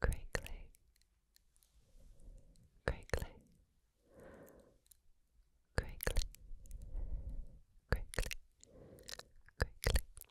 crinkly, crinkly, crinkly, crinkly, crinkly.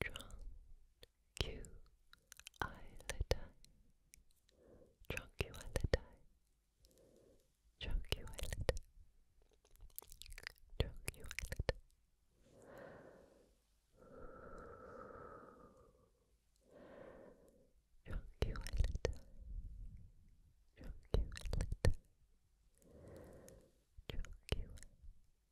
Tronculolidae. Tronculolidae. Tronculolidae. Tronculolidae. Tronculolidae. Tronculolidae. Tronculolidae.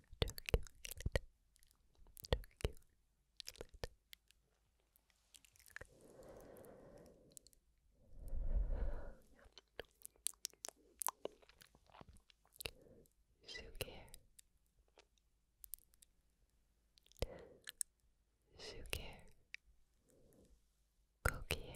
Turculate. Turculate. Sugar. Sugar. Coquier.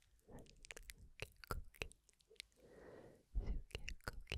cookie. Sugar cookie. late.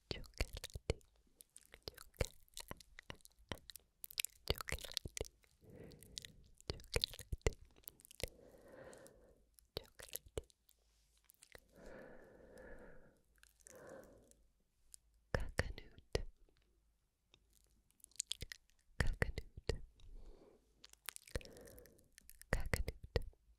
chocolate, chocolate, chocolate, chocolate, chocolate. Coconut, coconut, coconut,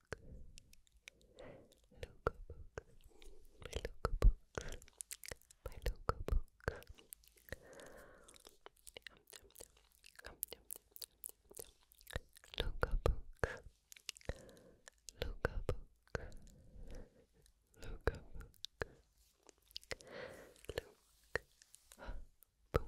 books. Logo books. My logo books. My logo books. Logo books. Logo books. Logo books. Look book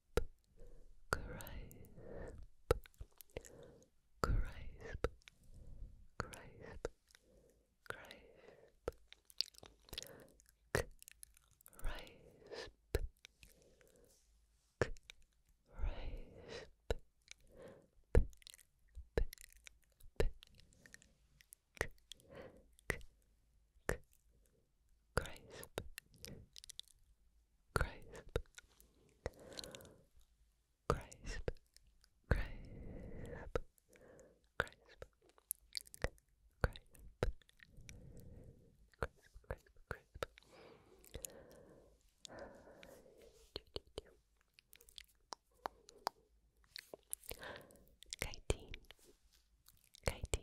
crisp, crisp, crisp, crisp, crisp, crisp, crisp, crisp, crisp, crisp, crisp, crisp, crisp, crisp, crisp, crisp. Chitin, chitin,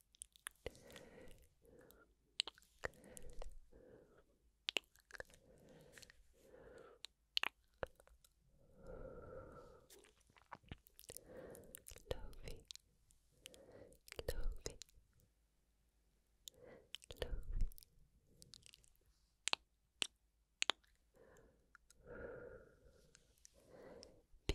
Lovey, lovey, lovey. B,